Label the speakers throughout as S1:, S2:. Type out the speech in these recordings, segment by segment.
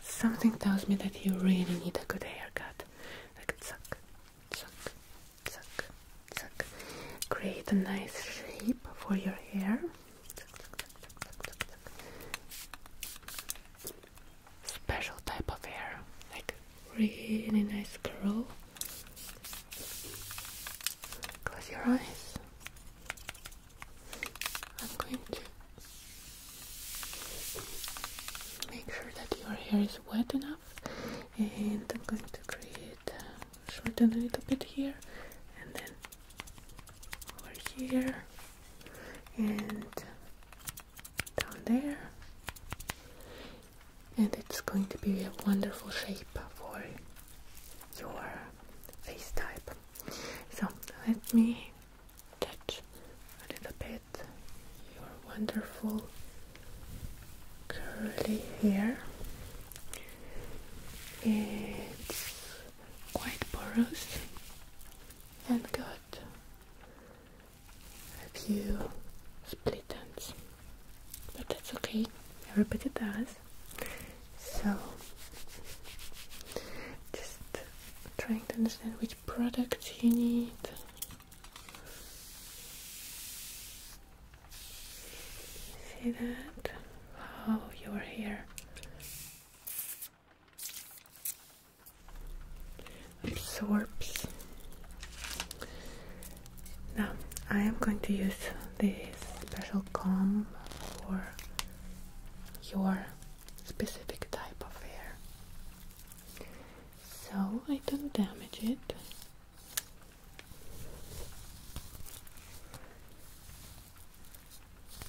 S1: Something tells me that you really need a good haircut. Like suck, suck, suck, suck. Create a nice shape for your hair. Special type of hair, like really nice curl. Close your eyes. I'm going to make sure that your hair is wet enough and I'm going to create uh, shorten a little bit here and then over here and down there and it's going to be a wonderful shape for your face type. So let me touch a little bit your wonderful curly hair. It's quite porous and got a few split ends but that's okay, everybody does. So, just trying to understand which product you need. See that? How oh, your hair. absorbs now I am going to use this special comb for your specific type of hair so I don't damage it.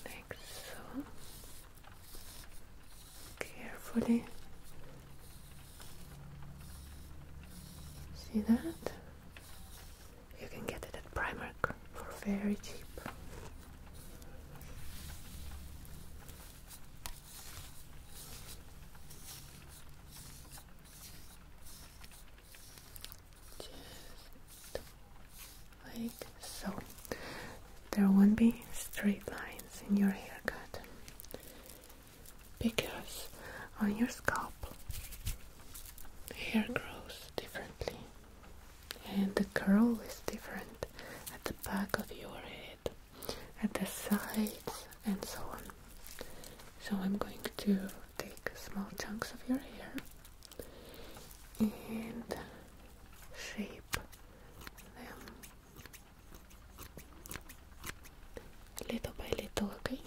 S1: Like so. Carefully. See that? You can get it at Primark for very cheap. Just like so. There won't be straight lines in your haircut because on your scalp hair grows differently and the curl is different at the back of your head, at the sides and so on. So I'm going to take small chunks of your hair and shape them little by little, okay?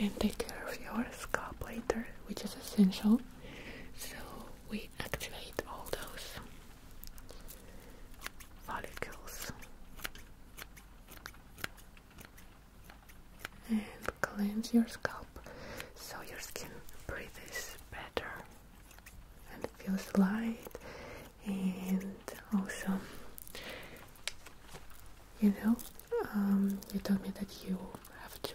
S1: and take care of your scalp later, which is essential. So we activate all those follicles and cleanse your scalp so your skin breathes better and feels light and also you know um, you told me that you have to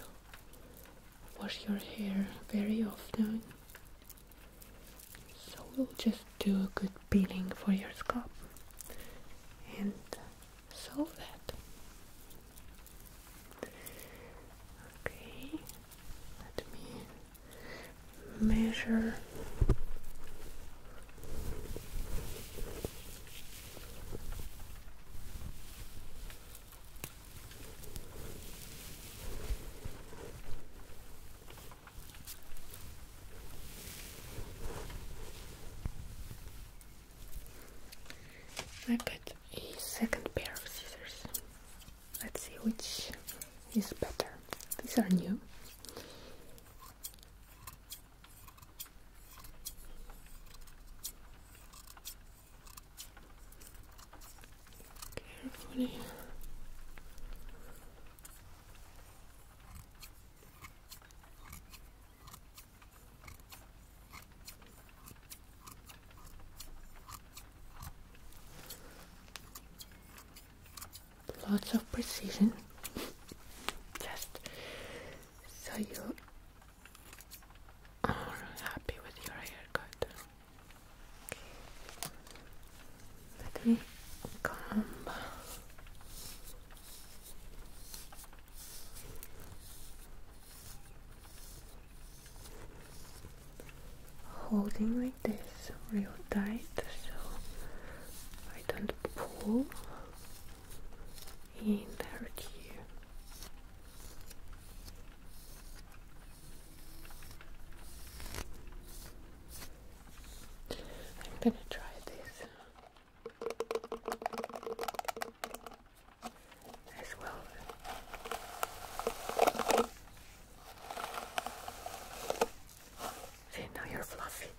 S1: wash your hair very often so we'll just do a good peeling for your scalp and solve that. Okay, let me measure. I got a second pair of scissors. Let's see which is better. These are new. Carefully. Lots of precision, just so you are happy with your haircut. Okay, me comb. Holding like this real tight so I don't pull in hurt you. I'm gonna try this as well. See, now you're fluffy.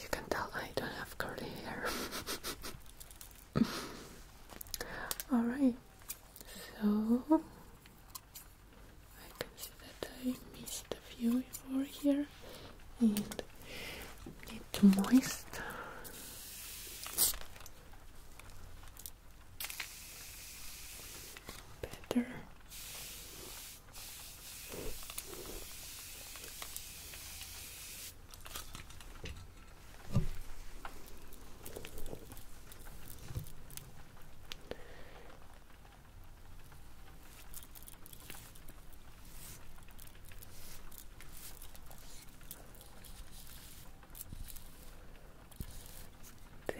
S1: You can tell I don't have curly hair. All right, so I can see that I missed a few over here, and need to moist. Better.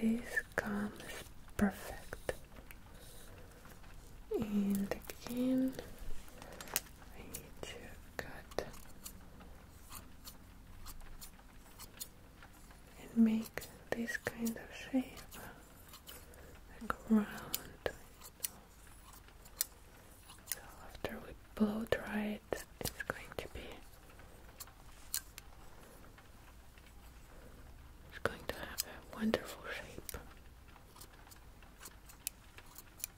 S1: This comes perfect. And again, I need to cut and make this kind of shape like round. So after we blow dry it, it's going to be. It's going to have a wonderful shape.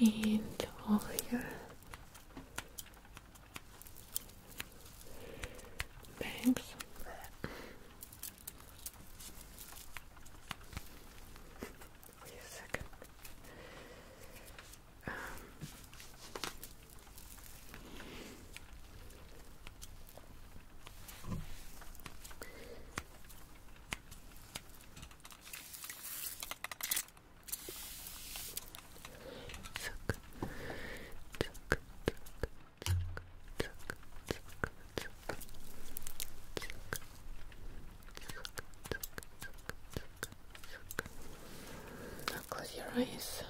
S1: and over your bangs. Wait a second. Um, now close your eyes.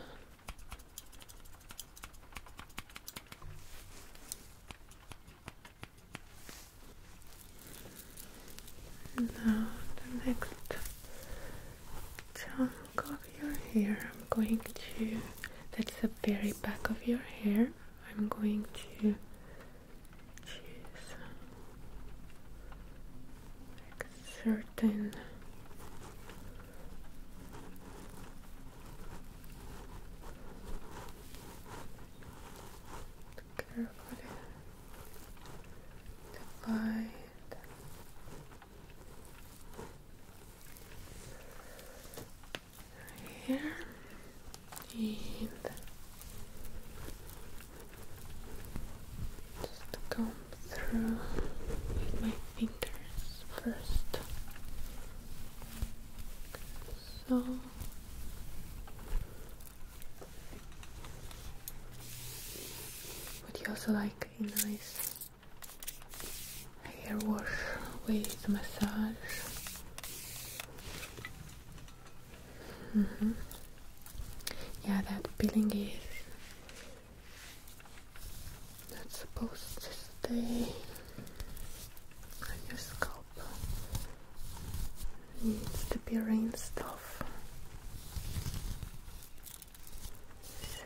S1: Now the next chunk of your hair I'm going to that's the very back of your hair I'm going to choose certain carefully here and just comb through with my fingers first. So but you also like a nice hair wash with massage. Mm-hmm. Yeah, that peeling is not supposed to stay on your scalp needs to be rinsed off. So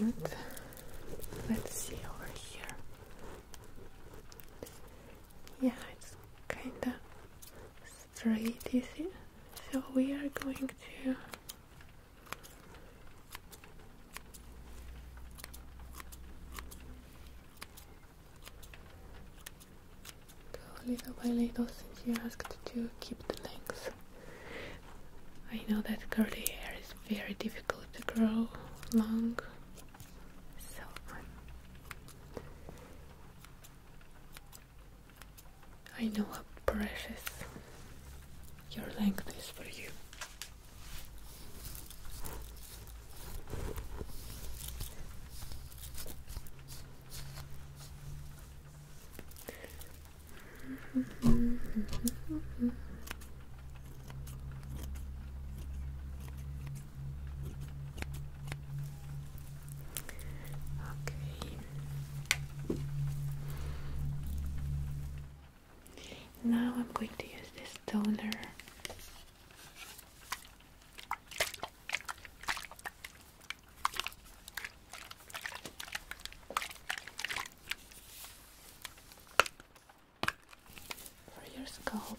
S1: and let's see over here. Yeah, it's kinda straight, you see? So we are going to go little by little since you asked to keep the length. I know that curly hair is very difficult to grow long, so I know how precious your length is for you. Okay. Now I'm going to use this toner for your scalp.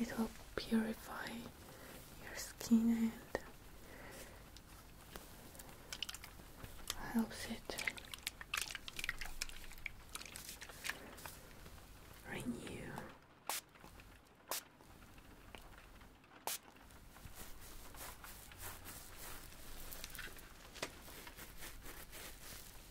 S1: it will purify your skin and helps it renew.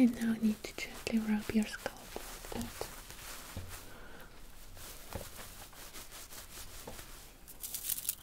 S1: And now I need to gently rub your scalp like that.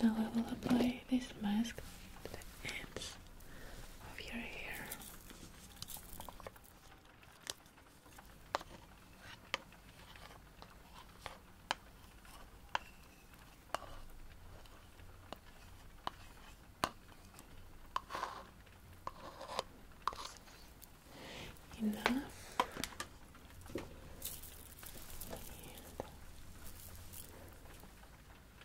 S1: Now I will apply this mask to the ends of your hair. Enough.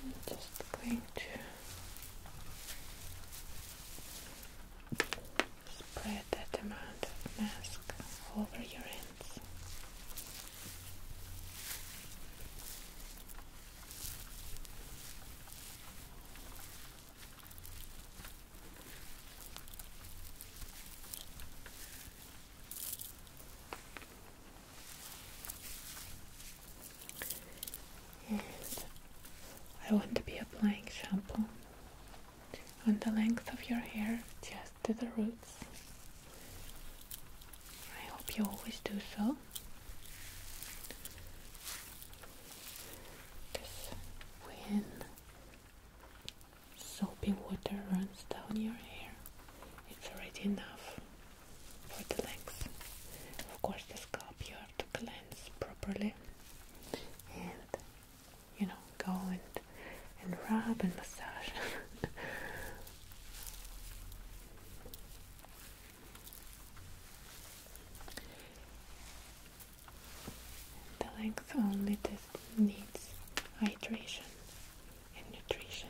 S1: I'm just going to spread that amount of mask over your hand. I want to be applying shampoo on the length of your hair just to the roots. I hope you always do so. Because when soapy water runs down your hair, it's already enough for the length. Of course, the scalp you have to cleanse properly, you know, go and and rub and massage. the length only needs hydration and nutrition.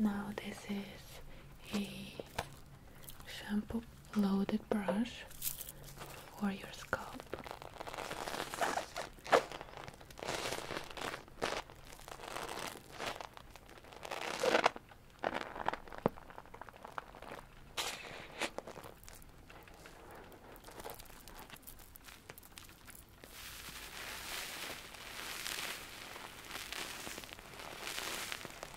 S1: Now this is a shampoo loaded brush for your scalp.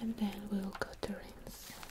S1: and then we'll go to rinse.